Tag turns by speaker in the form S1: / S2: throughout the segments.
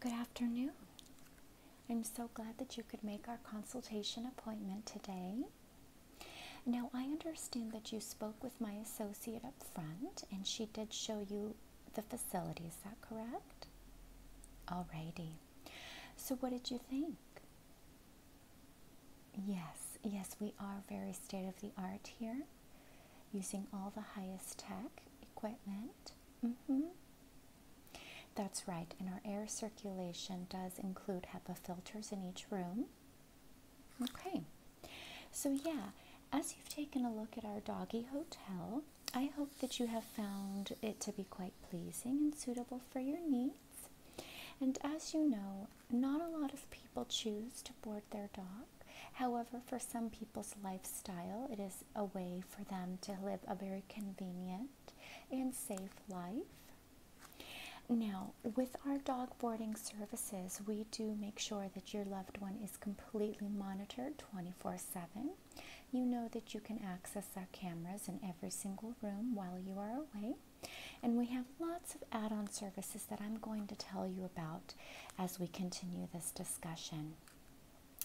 S1: Good afternoon. I'm so glad that you could make our consultation appointment today. Now, I understand that you spoke with my associate up front and she did show you the facility. Is that correct? Alrighty. So, what did you think? Yes, yes, we are very state of the art here using all the highest tech equipment. Mm -hmm. That's right, and our air circulation does include HEPA filters in each room. Okay, so yeah, as you've taken a look at our doggy hotel, I hope that you have found it to be quite pleasing and suitable for your needs. And as you know, not a lot of people choose to board their dog. However, for some people's lifestyle, it is a way for them to live a very convenient and safe life. Now, with our dog boarding services, we do make sure that your loved one is completely monitored 24 7. You know that you can access our cameras in every single room while you are away. And we have lots of add on services that I'm going to tell you about as we continue this discussion.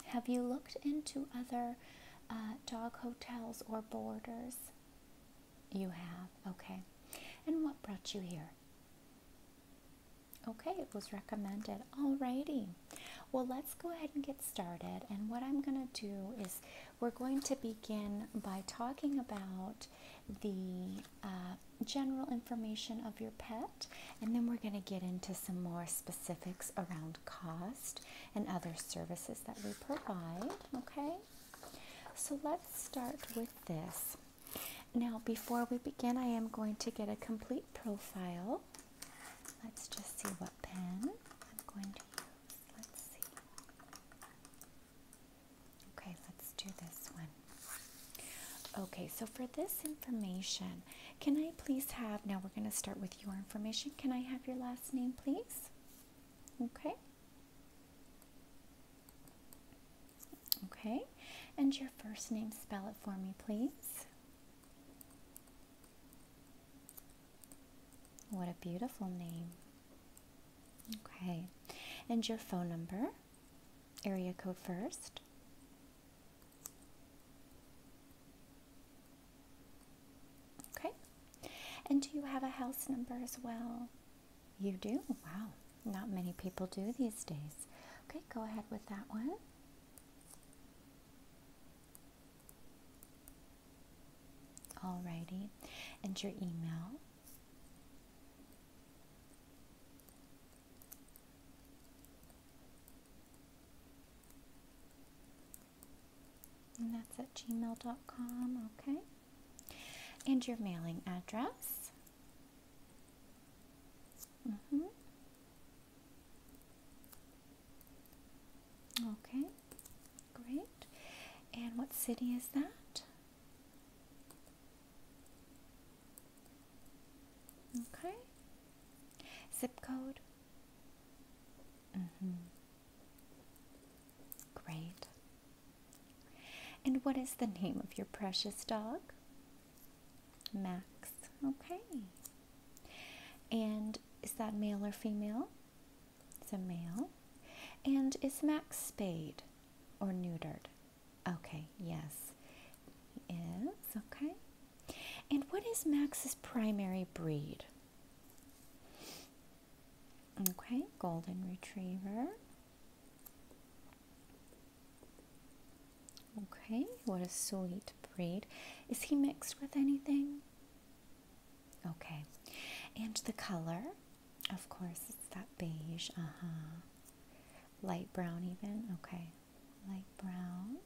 S1: Have you looked into other uh, dog hotels or borders? You have, okay. And what brought you here? Okay, it was recommended. Alrighty. Well, let's go ahead and get started. And what I'm going to do is we're going to begin by talking about the uh, general information of your pet, and then we're going to get into some more specific specifics around cost and other services that we provide. Okay, so let's start with this. Now, before we begin, I am going to get a complete profile. Let's just see what pen I'm going to use. Let's see. Okay, let's do this one. Okay, so for this information, can I please have, now we're going to start with your information. Can I have your last name, please? Okay. Okay. And your first name, spell it for me, please. What a beautiful name. Okay. And your phone number, area code first. Okay. And do you have a house number as well? You do? Wow. Not many people do these days. Okay, go ahead with that one. Alrighty. And your email. And that's at gmail.com, okay. And your mailing address. Mm-hmm. Okay, great. And what city is that? Okay. Zip code. Mm-hmm. Great. And what is the name of your precious dog? Max. Okay. And is that male or female? It's a male. And is Max spayed or neutered? Okay, yes. He is. Okay. And what is Max's primary breed? Okay, golden retriever. Okay, what a sweet breed. Is he mixed with anything? Okay, and the color, of course, it's that beige, uh huh. Light brown, even, okay light brown.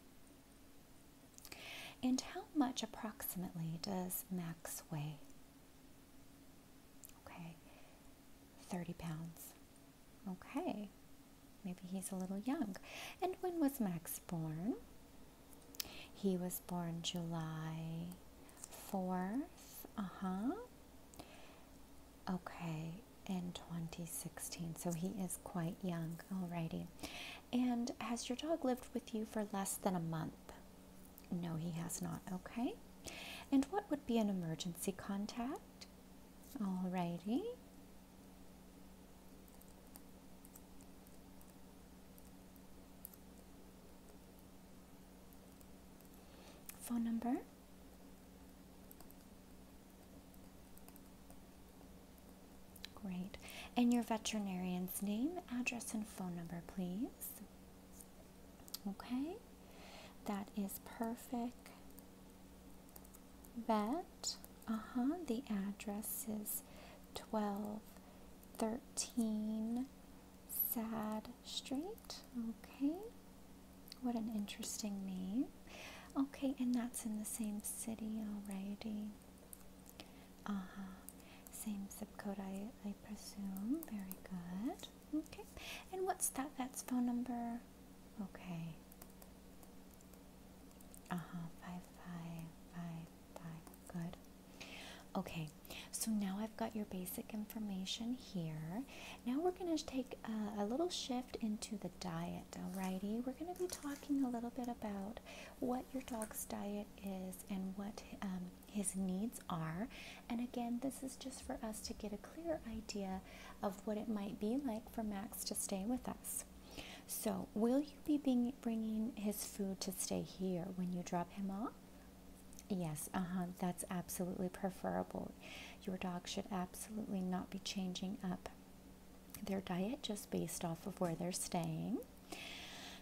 S1: And how much approximately does Max weigh? Okay, 30 pounds. Okay, maybe he's a little young. And when was Max born? He was born July 4th. Uh huh. Okay, in 2016, so he is quite young. Alrighty. And has your dog lived with you for less than a month? No, he has not. Okay. And what would be an emergency contact? Alrighty. Phone number Great. And your veterinarian's name, address, and phone number, please. Okay. That is perfect. Vet. Uh huh. The address is 1213 Sad Street. Okay. What an interesting name. Okay, and that's in the same city already. Uh huh. Same zip code, I, I presume. Very good. Okay. And what's that? That's phone number. Okay. Uh huh. Five, five, five, five. Good. Okay. So now I've got your basic information here. Now we're going to take a, a little shift into the diet alrighty? We're going to be talking a little bit about what your dog's diet is and what um, his needs are. And again, this is just for us to get a clear idea of what it might be like for Max to stay with us. So, will you be bringing his food to stay here when you drop him off? Yes, uh huh, that's absolutely preferable. Your dog should absolutely not be changing up their diet just based off of where they're staying.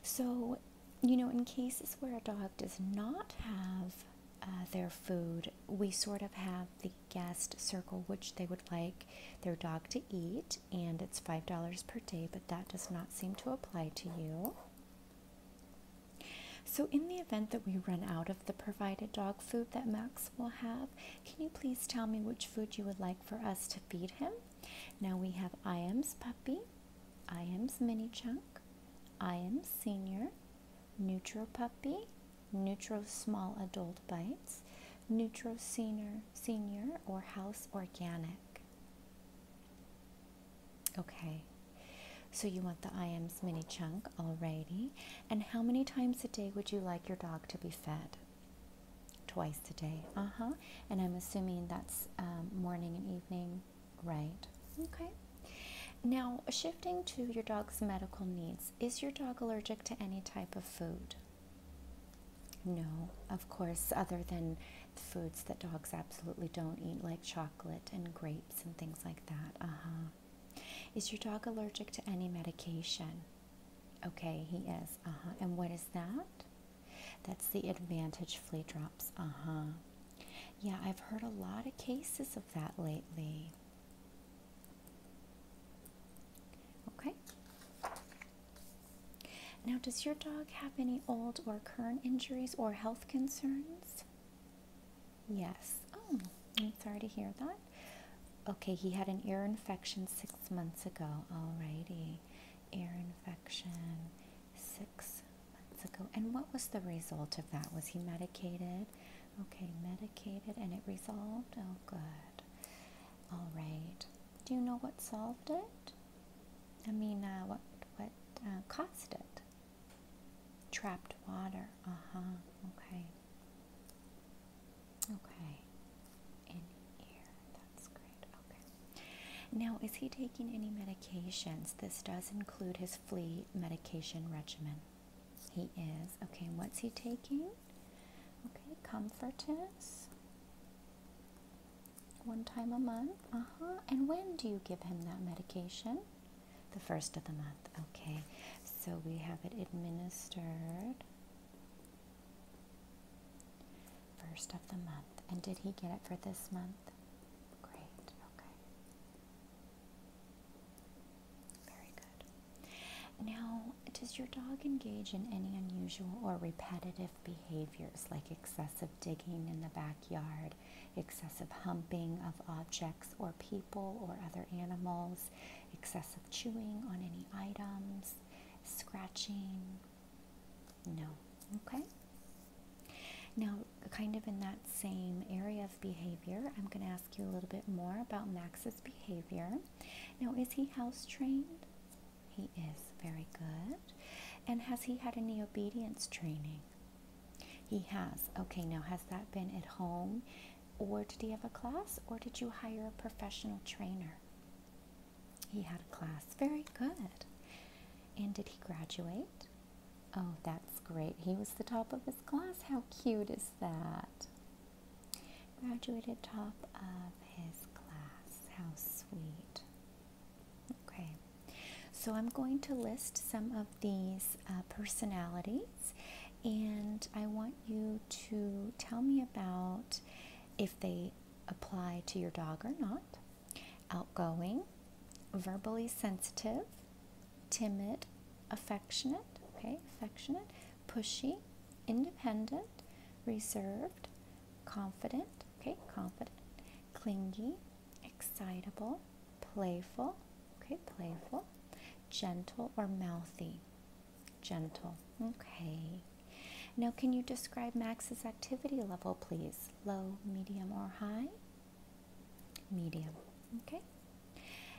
S1: So, you know, in cases where a dog does not have uh, their food, we sort of have the guest circle which they would like their dog to eat, and it's $5 per day, but that does not seem to apply to you. So, in the event that we run out of the provided dog food that Max will have. Can you please tell me which food you would like for us to feed him? Now we have Iam's puppy, Iam's mini chunk, Iam's senior, Neutro puppy, Neutro small adult bites, Neutro senior, senior or house organic. Okay. So you want the Iams mini chunk, already, And how many times a day would you like your dog to be fed? Twice a day. Uh huh. And I'm assuming that's um, morning and evening, right? Okay. Now, shifting to your dog's medical needs, is your dog allergic to any type of food? No, of course, other than foods that dogs absolutely don't eat, like chocolate and grapes and things like that. Uh huh. Is your dog allergic to any medication? Okay, he is. Uh huh. And what is that? That's the advantage flea drops. Uh huh. Yeah, I've heard a lot of cases of that lately. Okay. Now, does your dog have any old or current injuries or health concerns? Yes. Oh, I'm sorry to hear that. Okay, he had an ear infection six months ago. Alrighty. Ear infection six months ago. And what was the result of that? Was he medicated? Okay, medicated and it resolved? Oh, good. Alright. Do you know what solved it? I mean, uh, what, what uh, caused it? Trapped water. Uh huh. Okay. Okay. In ear. That's great. Okay. Now, is he taking any medications? This does include his flea medication regimen. He is. Okay. What's he taking? Okay. Comfortants. One time a month. Uh huh. And when do you give him that medication? The first of the month. Okay. So we have it administered First of the month. And did he get it for this month? Great, okay. Very good. Now, does your dog engage in any unusual or repetitive behaviors like excessive digging in the backyard, excessive humping of objects or people or other animals, excessive chewing on any items, scratching. No. Okay? Now, kind of in that same area of behavior, I'm going to ask you a little bit more about Max's behavior. Now, is he house trained? He is. Very good. And has he had any obedience training? He has. Okay, now has that been at home or did he have a class? Or did you hire a professional trainer? He had a class. Very good. And did he graduate? Oh, that's great. He was the top of his class. How cute is that? Graduated top of his class. How sweet. Okay. So I'm going to list some of these uh, personalities and I want you to tell me about if they apply to your dog or not. Outgoing, verbally sensitive, timid, affectionate, okay, affectionate, pushy, independent, reserved, confident, okay, confident, clingy, excitable, playful, okay, playful, gentle or mouthy, Gentle. Okay. Now, can you describe Max's activity level, please? Low, medium, or high? Medium. Okay.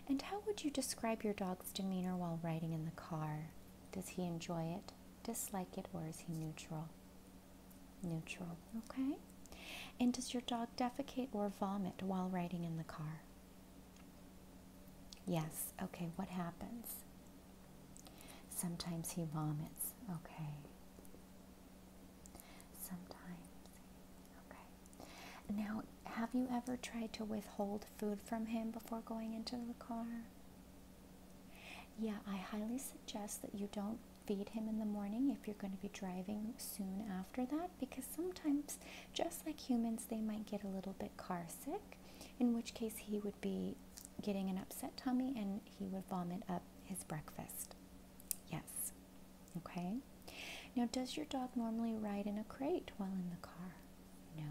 S1: And how would you describe your dog's demeanor while riding in the car? Does he enjoy it, dislike it, or is he neutral? Neutral. Okay. And does your dog defecate or vomit while riding in the car? Yes, okay, what happens? Sometimes he vomits, okay. Sometimes, okay. Now, have you ever tried to withhold food from him before going into the car? Yeah, I highly suggest that you don't feed him in the morning if you're going to be driving soon after that because sometimes, just like humans, they might get a little bit carsick in which case he would be getting an upset tummy and he would vomit up his breakfast. Yes. Okay. Now, does your dog normally ride in a crate while in the car? No.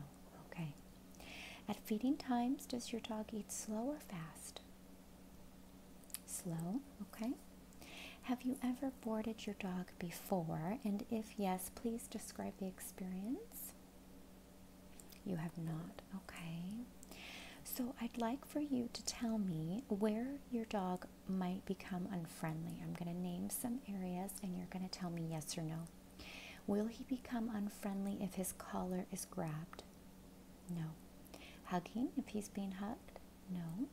S1: Okay. At feeding times, does your dog eat slow or fast? Slow. Okay. Have you ever boarded your dog before? And if yes, please describe the experience. You have not. Okay. So I'd like for you to tell me where your dog might become unfriendly. I'm going to name some areas and you're going to tell me yes or no. Will he become unfriendly if his collar is grabbed? No. Hugging if he's being hugged? No.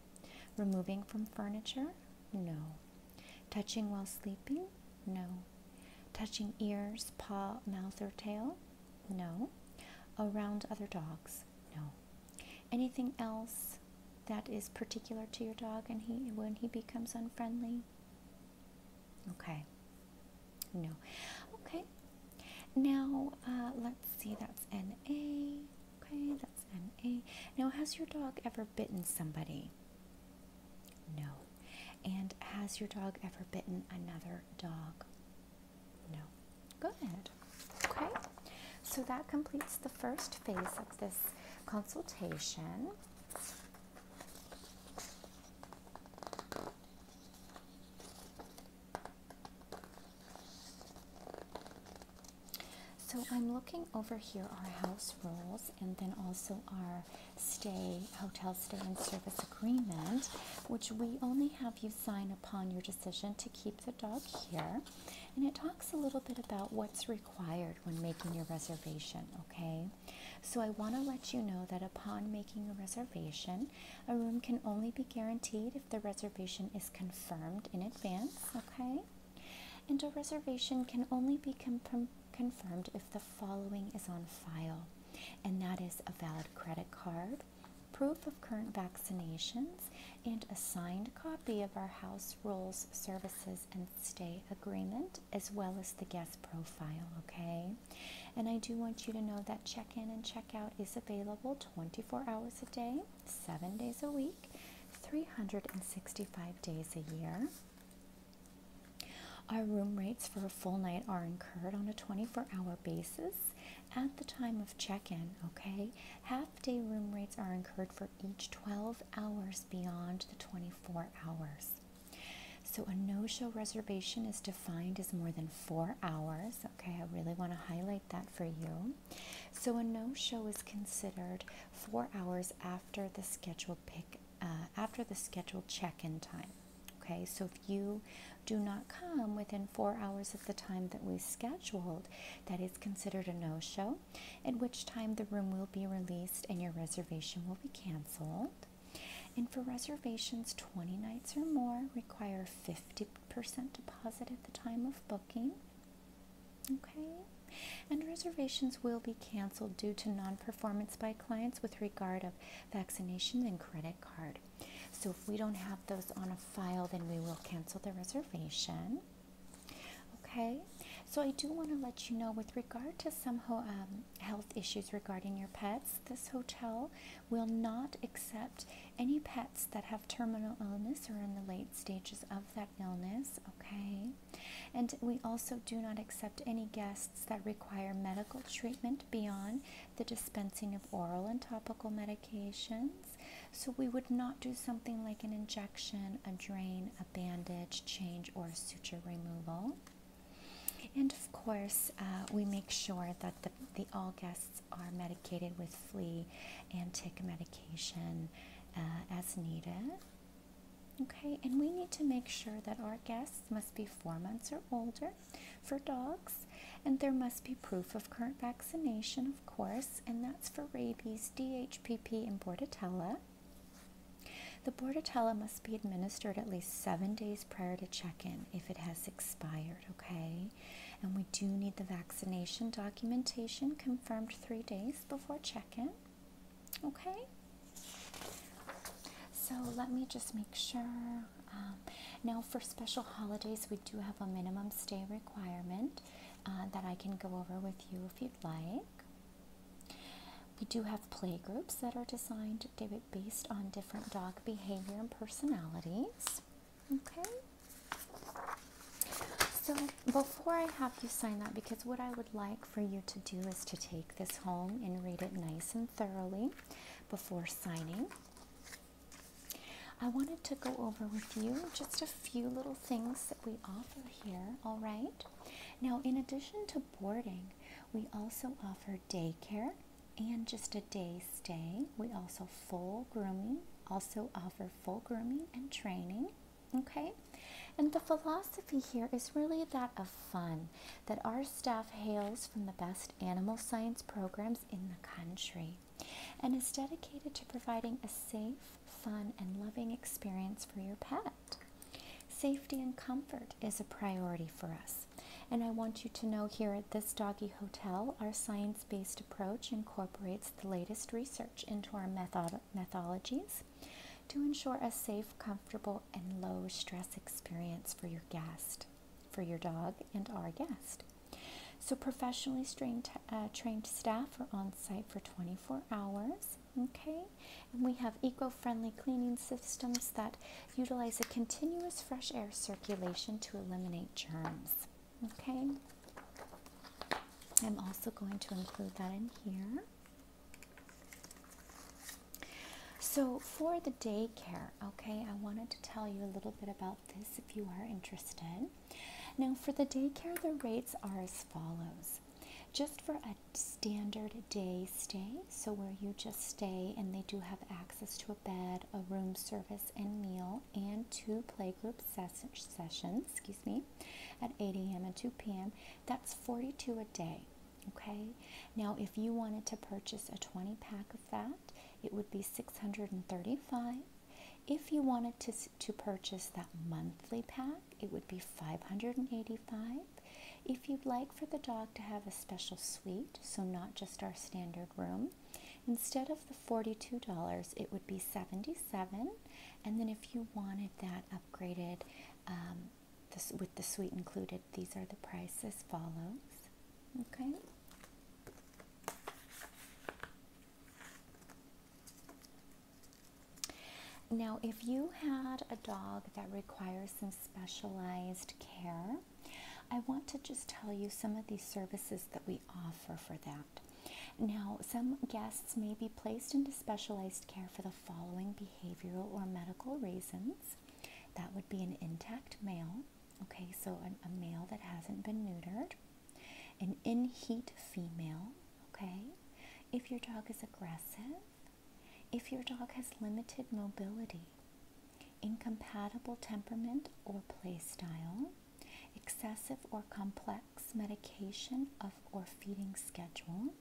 S1: Removing from furniture? No. Touching while sleeping? No. Touching ears, paw, mouth, or tail? No. Around other dogs? No. Anything else that is particular to your dog and he when he becomes unfriendly? Okay. No. Okay. Now, uh, let's see. That's N A. Okay, that's N A. Now, has your dog ever bitten somebody? No. And has your dog ever bitten another dog? No. Good. Okay. So that completes the first phase of this consultation. So I'm looking over here our house rules and then also our stay, hotel stay and service agreement, which we only have you sign upon your decision to keep the dog here. And it talks a little bit about what's required when making your reservation, okay? So I want to let you know that upon making a reservation, a room can only be guaranteed if the reservation is confirmed in advance, okay? And a reservation can only be confirmed confirmed if the following is on file, and that is a valid credit card, proof of current vaccinations, and a signed copy of our house rules, services, and stay agreement, as well as the guest profile, okay? And I do want you to know that check in and check out is available 24 hours a day, 7 days a week, 365 days a year. Our room rates for a full night are incurred on a 24 hour basis at the time of check in, okay? Half day room rates are incurred for each 12 hours beyond the 24 hours. So a no show reservation is defined as more than four hours, okay? I really want to highlight that for you. So a no show is considered four hours after the scheduled pick uh, after the scheduled check-in time. Okay, so if you do not come within four hours of the time that we scheduled, that is considered a no-show, at which time the room will be released and your reservation will be canceled. And for reservations 20 nights or more, require 50% deposit at the time of booking. Okay, and reservations will be canceled due to non performance by clients with regard of vaccinations and credit card. So if we don't have those on a file, then we will cancel the reservation. Okay, so I do want to let you know with regard to some um, health issues regarding your pets, this hotel will not accept any pets that have terminal illness or in the late stages of that illness. Okay, and we also do not accept any guests that require medical treatment beyond the dispensing of oral and topical medications. So, we would not do something like an injection, a drain, a bandage change, or suture removal. And of course, uh, we make sure that the, all guests are medicated with flea and tick medication uh, as needed. Okay, and we need to make sure that our guests must be four months or older for dogs, and there must be proof of current vaccination, of course, and that's for rabies, DHPP, and Bordetella. The Bordetella must be administered at least seven days prior to check in if it has expired, okay? And we do need the vaccination documentation confirmed three days before check in. Okay? So let me just make sure. Um, now, for special holidays, we do have a minimum stay requirement uh, that I can go over with you if you'd like. We do have play groups that are designed based on different dog behavior and personalities. Okay? So, before I have you sign that, because what I would like for you to do is to take this home and read it nice and thoroughly before signing. I wanted to go over with you just a few little things that we offer here, all right? Now, in addition to boarding, we also offer daycare and just a day stay. We also full grooming, also offer full grooming and training, okay? And the philosophy here is really that of fun that our staff hails from the best animal science programs in the country and is dedicated to providing a safe, fun, and loving experience for your pet. Safety and comfort is a priority for us, and I want you to know here at this doggy hotel, our science based approach incorporates the latest research into our method- methodologies to ensure a safe, comfortable, and low stress experience for your guest, for your dog and our guest. So professionally uh, trained staff are on site for 24 hours. Okay, and we have eco-friendly cleaning systems that utilize a continuous fresh air circulation to eliminate germs. Okay, I'm also going to include that in here. So, for the daycare, okay, I wanted to tell you a little bit about this if you are interested. Now, for the daycare, the rates are as follows. Just for a standard day stay, so where you just stay and they do have access to a bed, a room service and meal, and two playgroup sessions, excuse me, at 8 a.m. and 2 p.m., that's 42 a day. Okay, now if you wanted to purchase a 20 pack of that, it would be 635. If you wanted to, to purchase that monthly pack, it would be 585. If you'd like for the dog to have a special suite, so not just our standard room, instead of the $42, it would be 77. And then if you wanted that upgraded um, this, with the suite included. These are the prices follows. Okay. Now, if you had a dog that requires some specialized care, I want to just tell you some of these services that we offer for that. Now, some guests may be placed into specialized care for the following behavioral or medical reasons. That would be an intact male, okay, so a, male that hasn't been neutered, an in heat female, okay, if your dog is aggressive, if your dog has limited mobility, incompatible temperament or play style, excessive or complex medication of or feeding schedule,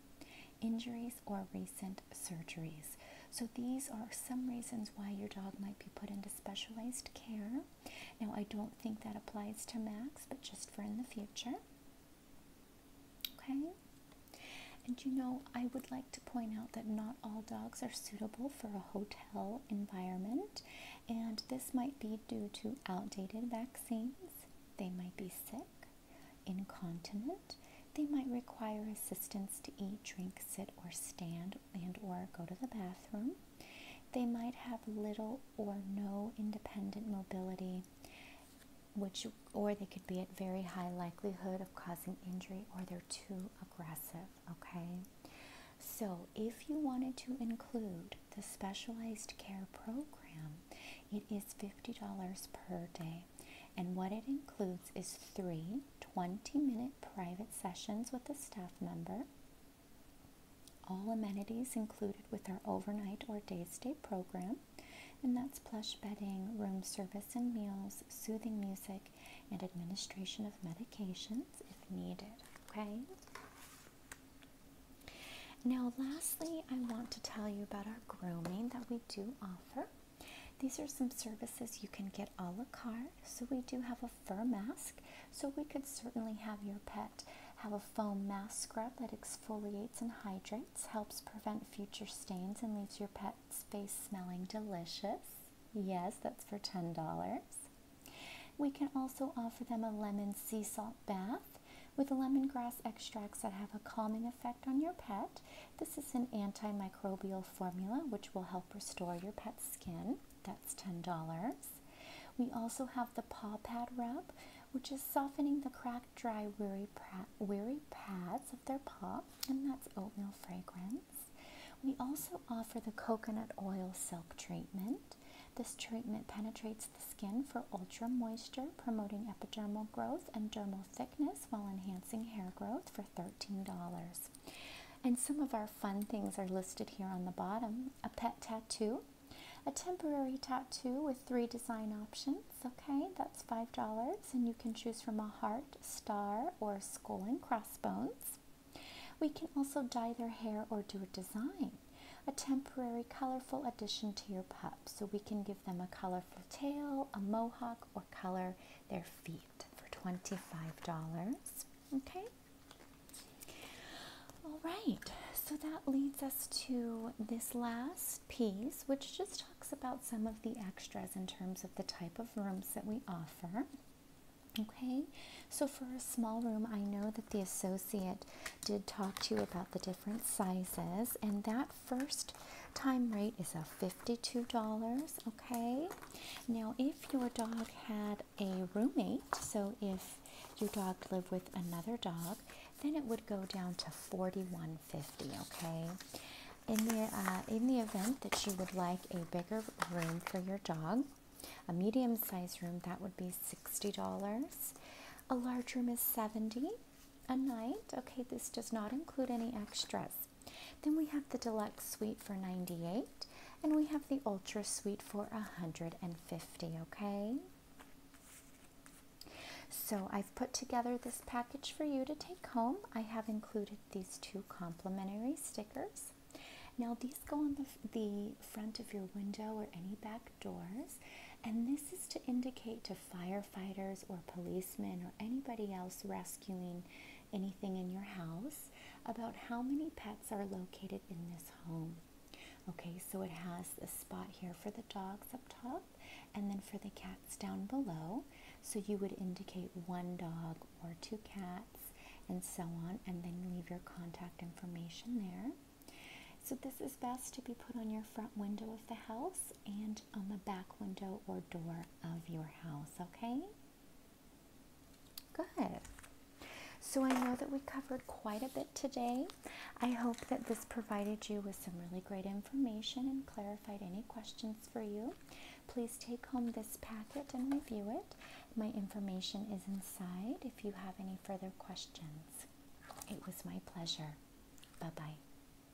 S1: injuries, or recent surgeries. So, these are some reasons why your dog might be put into specialized care. Now, I don't think that applies to Max, but just for in the future. Okay? And you know, I would like to point out that not all dogs are suitable for a hotel environment, and this might be due to outdated vaccines, they might be sick, incontinent, they might require assistance to eat, drink, sit, or stand and or go to the bathroom. They might have little or no independent mobility, which or they could be at very high likelihood of causing injury or they're too aggressive, okay? So, if you wanted to include the specialized care program, it is $50 per day. And what it includes is three 20 minute private sessions with a staff member. All amenities included with our overnight or day stay program, and that's plush bedding, room service and meals, soothing music, and administration of medications if needed. Okay? Now, lastly, I want to tell you about our grooming that we do offer. These are some services you can get a la carte. So we do have a fur mask, so we could certainly have your pet have a foam mask scrub that exfoliates and hydrates, helps prevent future stains, and leaves your pet's face smelling delicious. Yes, that's for $10. We can also offer them a lemon sea salt bath with lemongrass extracts that have a calming effect on your pet. This is an antimicrobial formula which will help restore your pet's skin. That's $10. We also have the paw pad rub, which is softening the cracked, dry, weary, weary pads of their paw, and that's oatmeal fragrance. We also offer the coconut oil silk treatment. This treatment penetrates the skin for ultra moisture, promoting epidermal growth and dermal thickness while enhancing hair growth for $13. And some of our fun things are listed here on the bottom a pet tattoo, a temporary tattoo with three design options. Okay, that's $5, and you can choose from a heart, star, or skull and crossbones. We can also dye their hair or do a design, a temporary colorful addition to your pup. So we can give them a colorful tail, a mohawk, or color their feet for $25. Okay? All right, so that leads us to this last piece, which just talks about some of the extras in terms of the type of rooms that we offer. Okay, so for a small room, I know that the associate did talk to you about the different sizes, and that first time rate is a $52. Okay. Now, if your dog had a roommate, so if your dog lived with another dog, then it would go down to forty-one fifty. dollars Okay. In the uh, in the event that you would like a bigger room for your dog, a medium-sized room that would be $60. A large room is $70 a night. Okay, this does not include any extras. Then we have the deluxe suite for 98 and we have the ultra suite for 150, okay? So I've put together this package for you to take home. I have included these two complimentary stickers. Now these go on the, the front of your window or any back doors. And this is to indicate to firefighters or policemen or anybody else rescuing anything in your house about how many pets are located in this home. Okay, so it has a spot here for the dogs up top and then for the cats down below. So you would indicate one dog or two cats and so on, and then leave your contact information there. So, this is best to be put on your front window of the house and on the back window or door of your house, okay? Good. So I know that we covered quite a bit today. I hope that this provided you with some really great information and clarified any questions for you. Please take home this packet and review it. My information is inside if you have any further questions. It was my pleasure. Bye-bye.